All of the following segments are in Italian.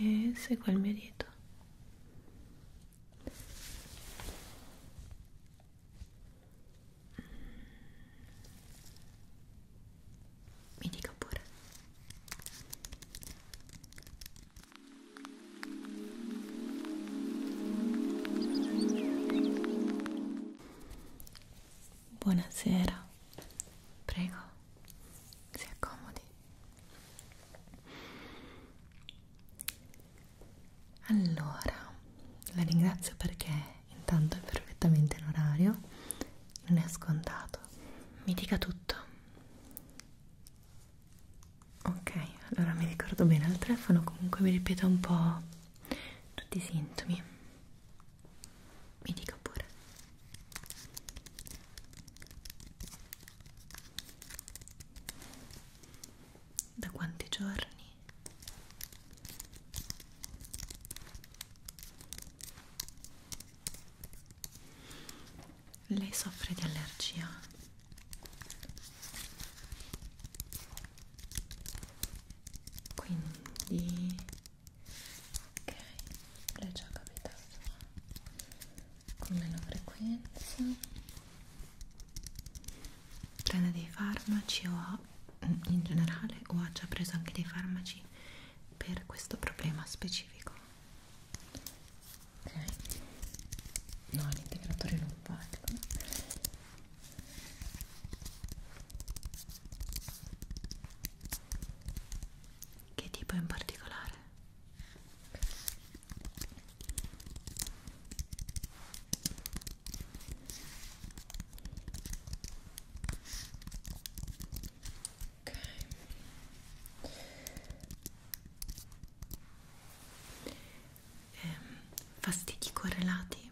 e seguo il mio dito mi dica pure Buonasera, prego, si accomodi. Allora, la ringrazio perché intanto è perfettamente in orario, non è scontato. Mi dica tutto. Ok, allora mi ricordo bene al telefono, comunque vi ripeto un po' tutti i sintomi. Mi dica pure. Da quanti giorni? Lei soffre di allergia. Quindi ok l'è già capitato con meno frequenza prende dei farmaci o ha, mm, in generale o ha già preso anche dei farmaci per questo problema specifico ok no l'integratore non valgo ecco. che tipo in particolare Ok. Ehm, fastidi correlati,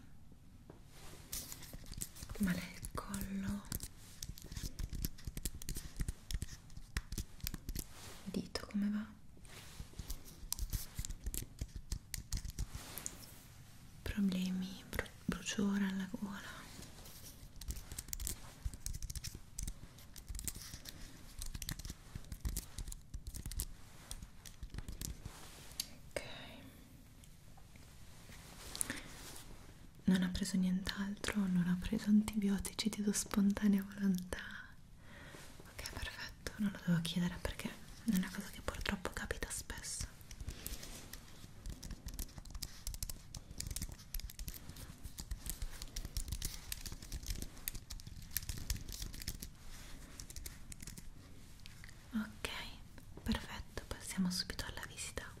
male al collo, dito come va problemi bru bruciore alla gola ok non ha preso nient'altro, non ha preso antibiotici di tua spontanea volontà. Ok, perfetto, non lo devo chiedere perché è una cosa che purtroppo capita spesso. Ok, perfetto, passiamo subito alla visita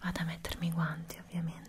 vado a mettermi i guanti ovviamente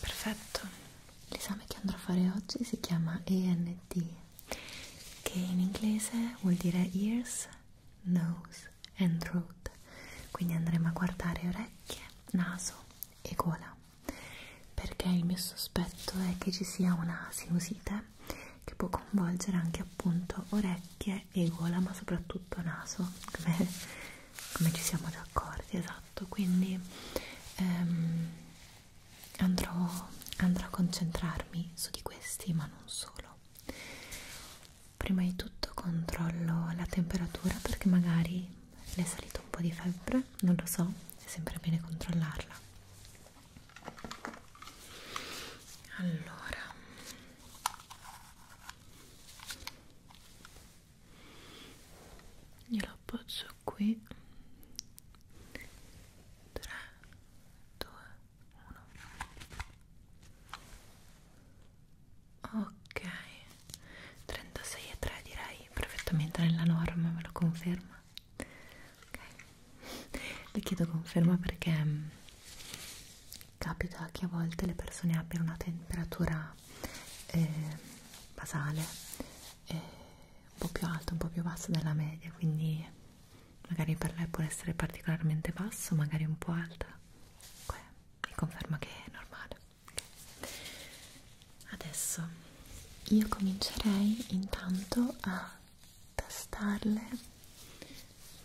Perfetto, l'esame che andrò a fare oggi si chiama ENT, che in inglese vuol dire Ears, Nose and Throat, quindi andremo a guardare orecchie, naso e gola, perché il mio sospetto è che ci sia una sinusite particolare che può coinvolgere anche appunto orecchie e gola ma soprattutto naso come, come ci siamo già accorti esatto quindi ehm, andrò, andrò a concentrarmi su di questi ma non solo prima di tutto controllo la temperatura perché magari le è salito un po' di febbre non lo so è sempre bene controllarla allora glielo appoggio qui 3 2 1 ok 36 e 3 direi perfettamente nella norma me lo conferma ok le chiedo conferma perché mm, capita che a volte le persone abbiano una temperatura eh, basale eh, un po' più alta, un po' più bassa della media, quindi magari per lei può essere particolarmente basso, magari un po' alta. Comunque mi conferma che è normale. Okay. Adesso io comincerei intanto a tastarle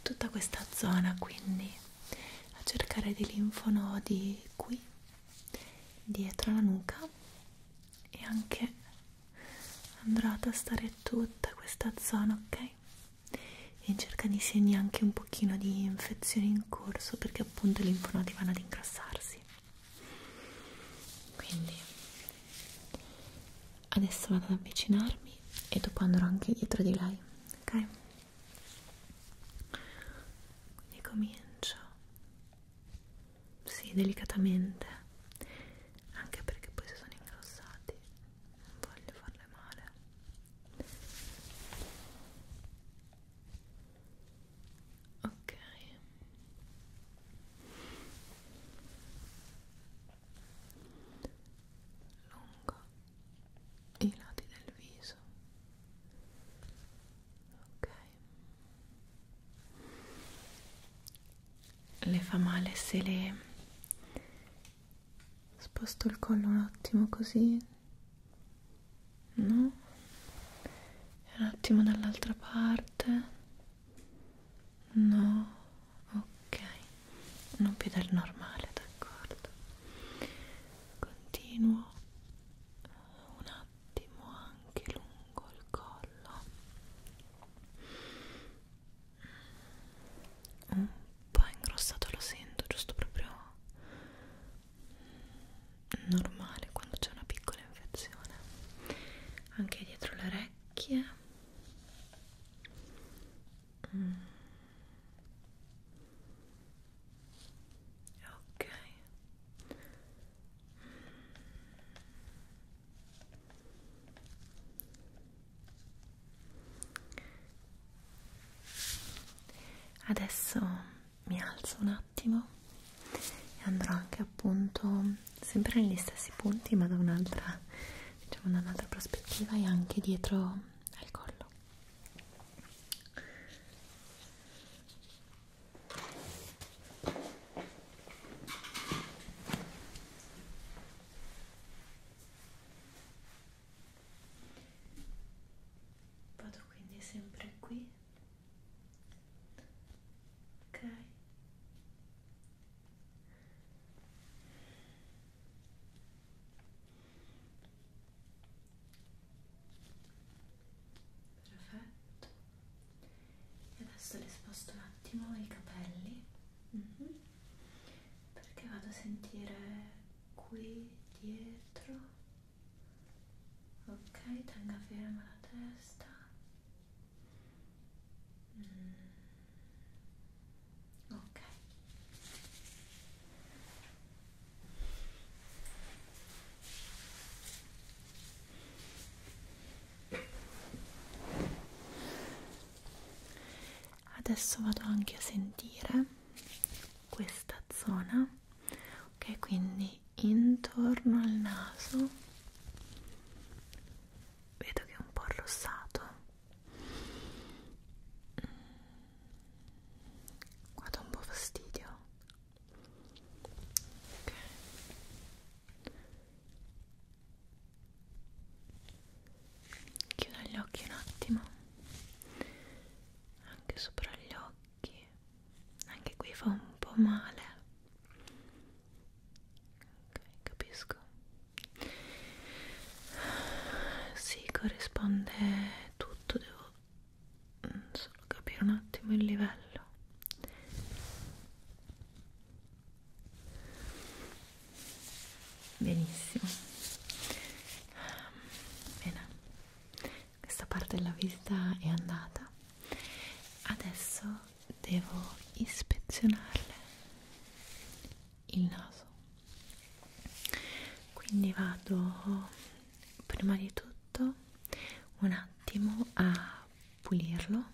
tutta questa zona quindi a cercare dei linfonodi qui dietro la nuca e anche andrò a tastare tutta questa zona ok in cerca di segni anche un pochino di infezione in corso perché appunto i linfonodi vanno ad ingrassarsi quindi adesso vado ad avvicinarmi e dopo andrò anche dietro di lei ok quindi comincio sì delicatamente anche perché poi se sono ingrossati non voglio farle male ok lungo i lati del viso ok le fa male se le sposto il collo un attimo così no un attimo dall'altra parte no ok non più del normale d'accordo continuo un attimo anche lungo il collo mm. un po' ingrossato lo sento giusto proprio normale quando c'è una piccola infezione anche dietro le orecchie Ok. Adesso mi alzo un attimo e andrò anche appunto sempre negli stessi punti ma da un'altra diciamo da un'altra prospettiva e anche dietro al collo vado quindi sempre qui ok Perfetto. E adesso le sposto un attimo i capelli mm -hmm. perché vado a sentire qui dietro. Ok, tenga ferma la testa. Mm. Ok. Adesso vado anche a sentire questa zona, ok? Quindi intorno al naso vedo che è un po' arrossato Guarda un po' fastidio. Ok. Chiudo gli occhi un attimo. Anche sopra gli occhi. Anche qui fa un po' male. Ok, capisco si corrisponde tutto devo mm, solo capire un attimo il livello benissimo bene questa parte della visita è andata adesso devo ispezionarle il naso quindi vado prima di tutto un attimo a pulirlo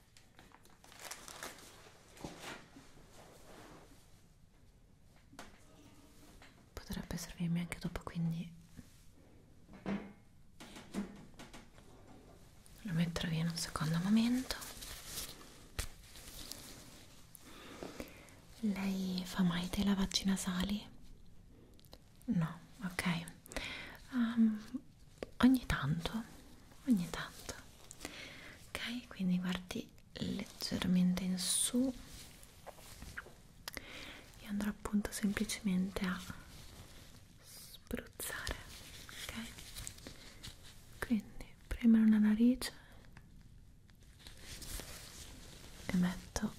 potrebbe servirmi anche dopo quindi lo metterò via in un secondo momento lei fa mai dei lavaggi nasali? no, ok um, ogni tanto ogni tanto ok quindi guardi leggermente in su e andrò appunto semplicemente a spruzzare ok quindi premere una narice e metto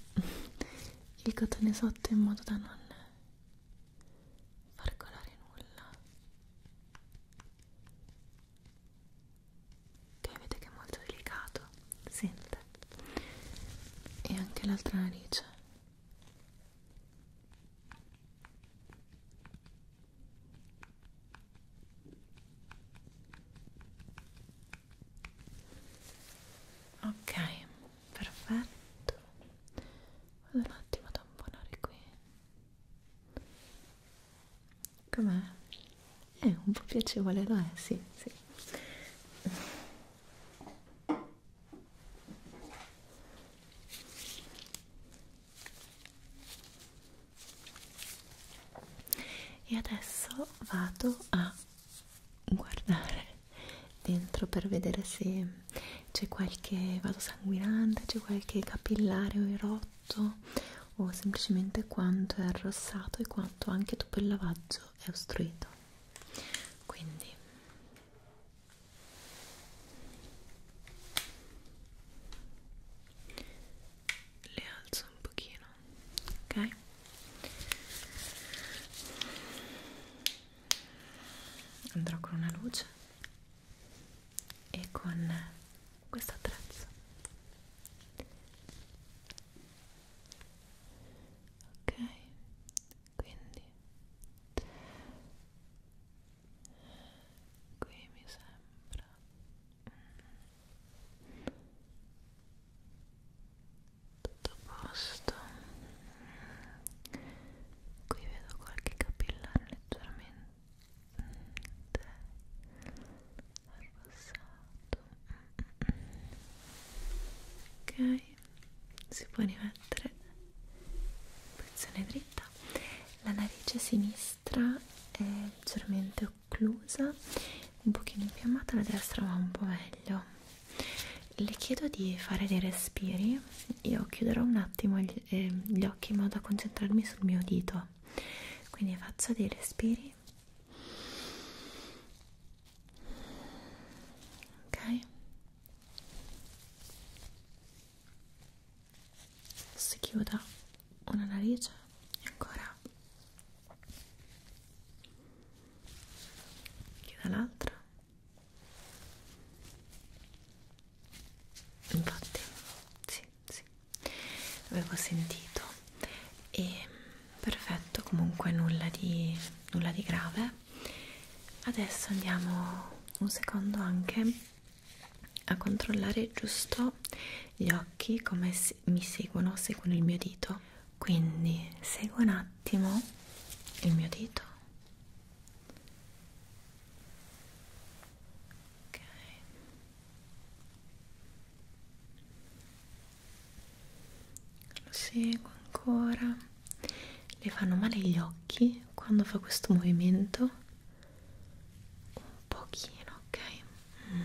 il cotone sotto in modo da non farcolare nulla ok vedete che è molto delicato sente e anche l'altra narice ok perfetto vado un attimo a tamponare qui Com'è? È eh, un po' piacevole, lo è, sì, sì. E adesso vado a guardare dentro per vedere se c'è qualche vado sanguinante, c'è qualche capillare o rotto o semplicemente quanto è arrossato e quanto anche dopo il lavaggio è ostruito. Quindi le alzo un pochino, ok? Andrò con una luce e con questo attrezzo ok quindi qui mi sembra tutto a posto qui vedo qualche capillare leggermente ok si può rimettere in posizione dritta la narice sinistra è leggermente occlusa un pochino infiammata la destra va un po' meglio le chiedo di fare dei respiri io chiuderò un attimo gli gli occhi in modo da concentrarmi sul mio dito quindi faccio dei respiri ok si chiuda una narice e ancora chiuda l'altra infatti sì sì avevo sentito e perfetto comunque nulla di nulla di grave adesso andiamo un secondo anche a controllare giusto gli occhi come se mi seguono seguono il mio dito quindi seguo un attimo il mio dito ok lo seguo ancora le fanno male gli occhi quando fa questo movimento un pochino ok mm.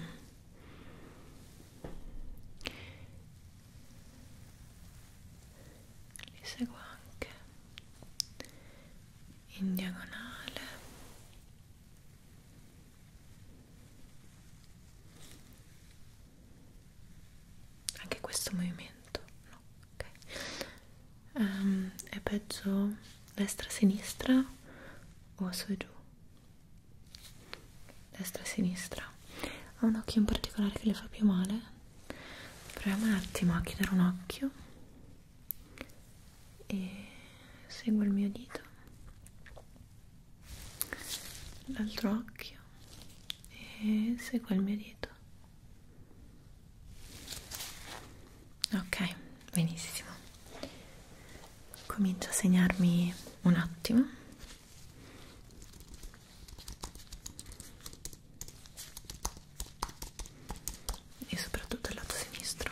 li seguo anche in diagonale anche questo movimento no ok um, è peggio destra sinistra o su e giù destra sinistra ha un occhio in particolare che le fa più male proviamo un attimo a chiudere un occhio e seguo il mio dito l'altro occhio e seguo il mio dito ok benissimo comincio a segnarmi un attimo e soprattutto il lato sinistro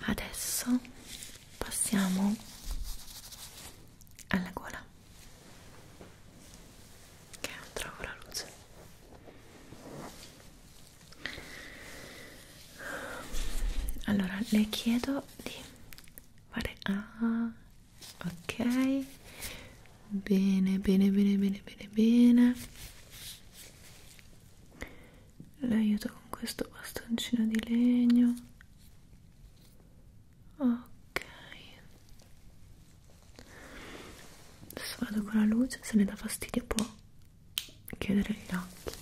adesso passiamo alla gola che non trovo la luce allora le chiedo di fare ah ok bene bene bene bene bene bene l'aiuto con questo bastoncino di legno ok adesso vado con la luce se ne dà fastidio può chiudere gli occhi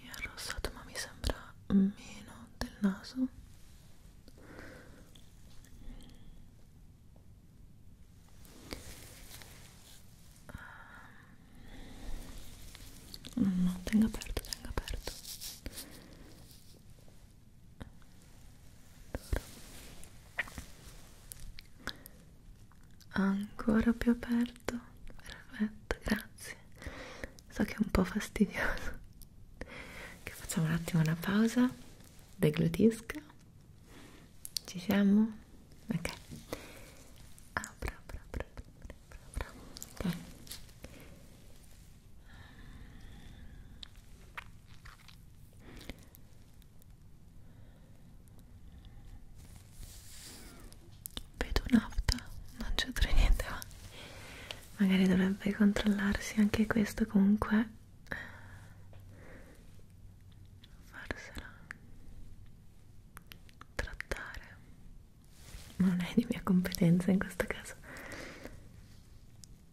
è arrossato ma mi sembra meno del naso no no tenga aperto tenga aperto allora ancora più aperto perfetto grazie so che è un po' fastidioso che facciamo un attimo una pausa deglutisca ci siamo? ok apra ah, apra apra apra, apra. ok vedo un'afta non c'entra niente ma magari dovrebbe controllarsi anche questo comunque farsela trattare ma non è di mia competenza in questo caso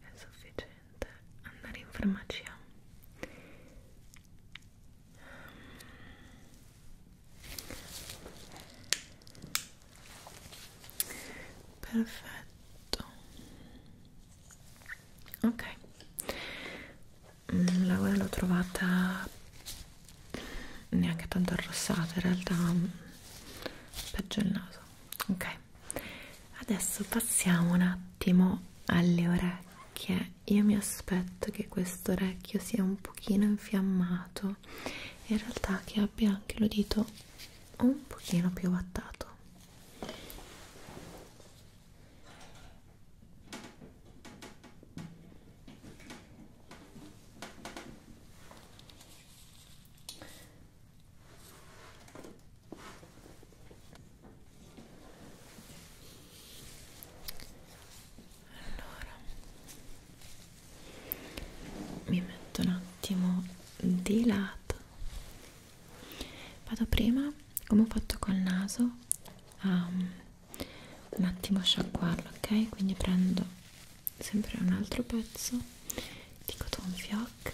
è sufficiente urgente andare in farmacia perfetto ok mm, la ora l'ho trovata neanche tanto arrossata in realtà mm, peggio il naso ok adesso passiamo un attimo alle orecchie io mi aspetto che questo orecchio sia un pochino infiammato in realtà che abbia anche l'udito un pochino più vattato allora mi metto un attimo di lato vado prima come ho fatto col naso a un attimo sciacquarlo ok quindi prendo sempre un altro pezzo di cotton fioc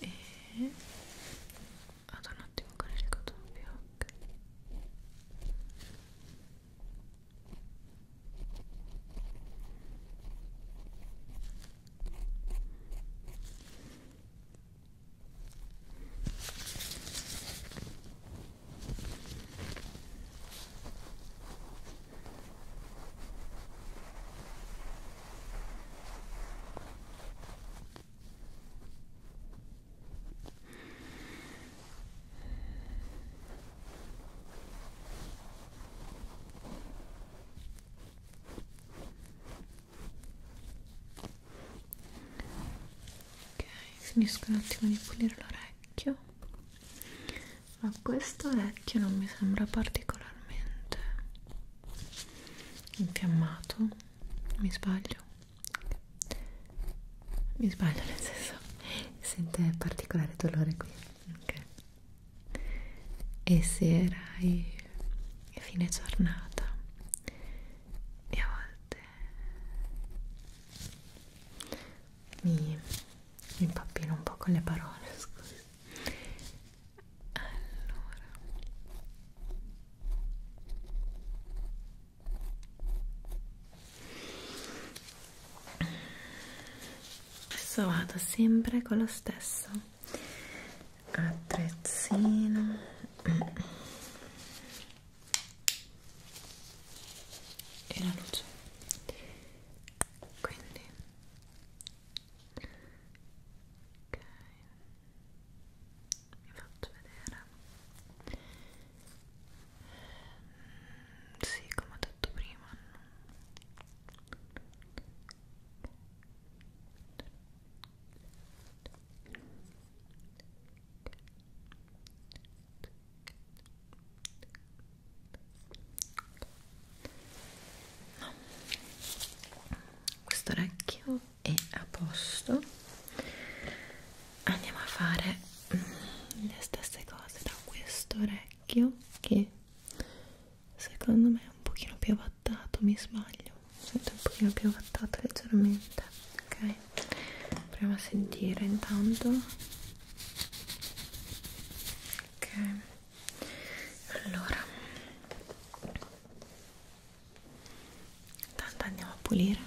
e vado un attimo con il cotone pioc ok Ok, finisco un attimo di pulire l'orecchio, ma questo orecchio non mi sembra particolarmente infiammato mi sbaglio mi sbaglio nel senso sente particolare dolore qui okay. e se erai a fine giornata e a volte mi, mi impappino un po' con le parole scusa allora adesso vado sempre con lo stesso attrezzino e la luce quindi ok vi faccio vedere mm, sì come ho detto prima No, questo orecchio è a posto andiamo a fare mm, le stesse cose da questo orecchio che secondo me è un pochino più avattato mi sbaglio sento un pochino più avattato leggermente ok proviamo a sentire intanto ok allora intanto andiamo a pulire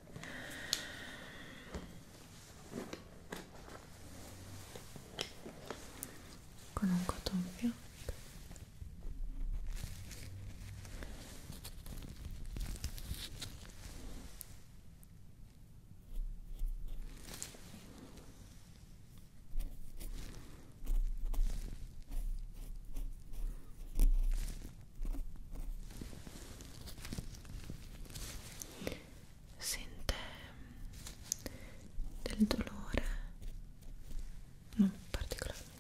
con un cotton fioc sente mm, del dolore non particolarmente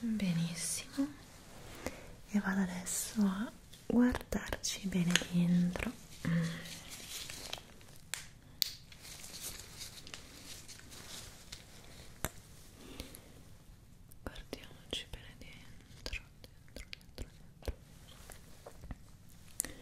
benissimo e vado adesso a guardarci bene dentro mm guardiamoci bene dentro dentro dentro dentro questo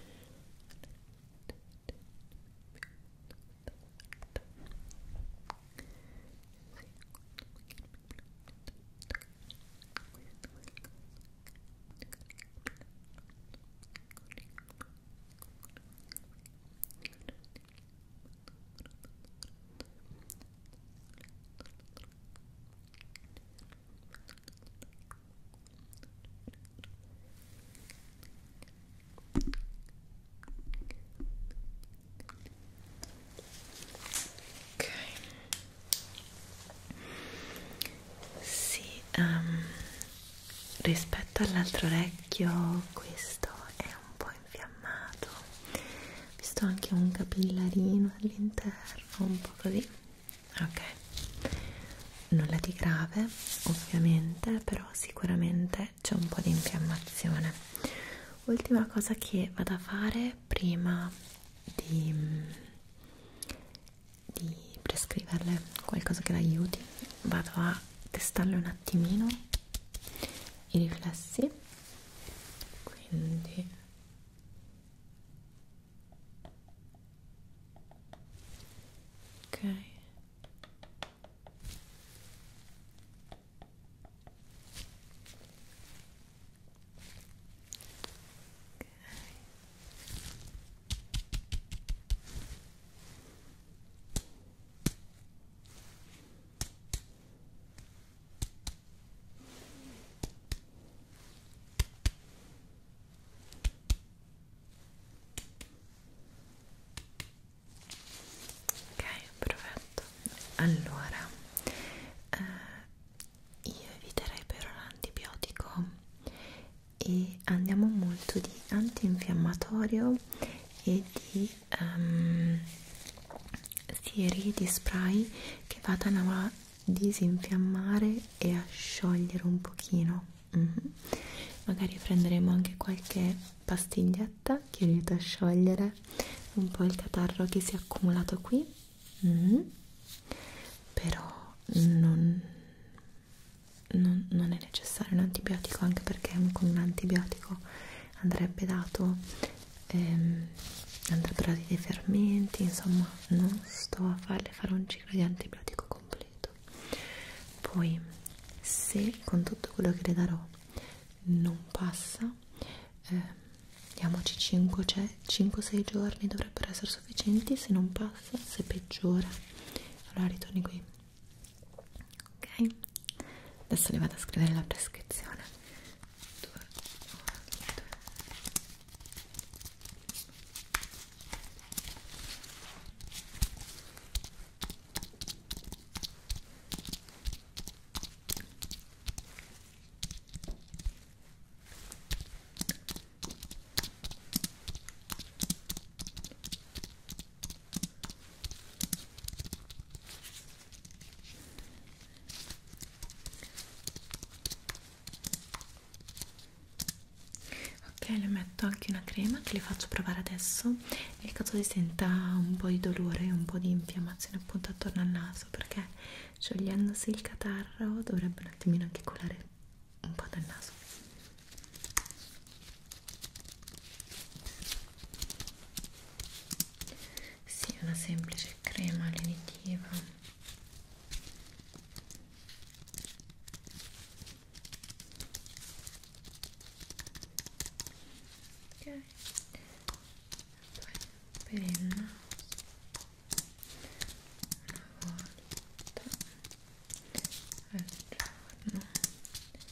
Ok. Sì, um, rispetto all'altro orecchio questo è un po' infiammato ho visto anche un capillarino all'interno un po' così ok nulla di grave ovviamente però sicuramente c'è un po' di infiammazione ultima cosa che vado a fare prima di, di prescriverle qualcosa che l'aiuti vado a testarle un attimino i riflessi quindi ok ok Ok, perfetto. Allora, eh, io eviterei per ora l'antibiotico e andiamo molto di antinfiammatorio e di um, ehm, sieri di spray che vadano a disinfiammare e a sciogliere un pochino mm -hmm. magari prenderemo anche qualche pastiglietta che aiuta a sciogliere un po' il catarro che si è accumulato qui mm -hmm. però non, non, non è necessario un antibiotico anche perché con un antibiotico andrebbe dato ehm, andrebbero dati dei fermenti insomma non sto a farle fare un ciclo di antibiotico completo poi se con tutto quello che le darò non passa eh, diamoci 5-6 cioè, giorni dovrebbero essere sufficienti se non passa se peggiora allora ritorni qui ok adesso le vado a scrivere la prescrizione 2 1 2 1 ok le metto anche una crema che le faccio provare adesso nel caso si senta un po' di dolore un po' di infiammazione appunto attorno al naso perché sciogliendosi il catarro dovrebbe un attimino anche colare un po' dal naso sì, una semplice crema lenitiva ok poi per il naso una volta al giorno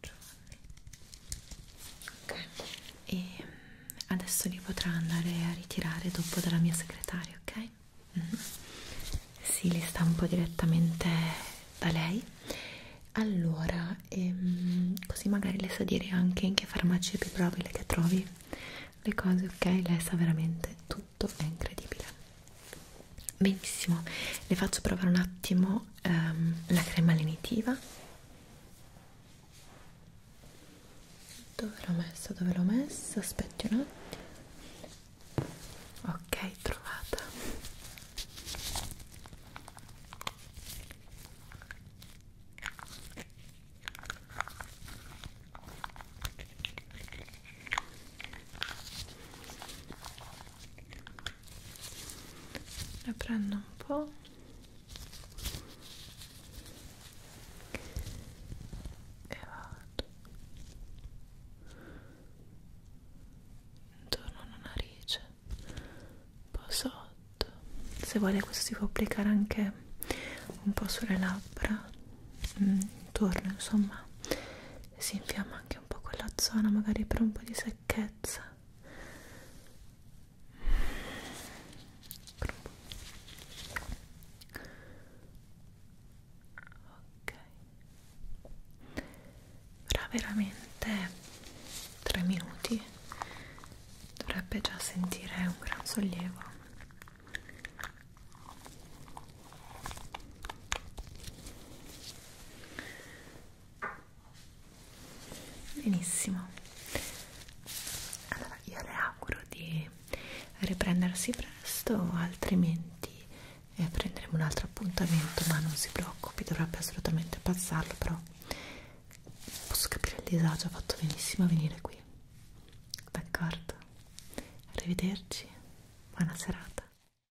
giorni ok e mm, adesso li potrà andare a ritirare dopo dalla mia segretaria ok? Mm -hmm. sì li stampo direttamente da lei allora ehm, così magari le sa dire anche in che farmacia è più probabile che trovi le cose ok lei sa veramente tutto è incredibile benissimo le faccio provare un attimo ehm, la crema lenitiva dove l'ho messa dove l'ho messa aspetti un attimo ok trovata ne prendo un po' e vado intorno alla narice un po' sotto se vuole questo si può applicare anche un po' sulle labbra mm, intorno insomma si infiamma anche un po' quella zona magari per un po' di secchezza ok però veramente 3 minuti dovrebbe già sentire un gran sollievo Benissimo. Allora, io le auguro di riprendersi presto, altrimenti eh, prenderemo un altro appuntamento, ma non si preoccupi, dovrebbe assolutamente passarlo, però posso capire il disagio, ha fatto benissimo a venire qui. D'accordo? Arrivederci, buona serata.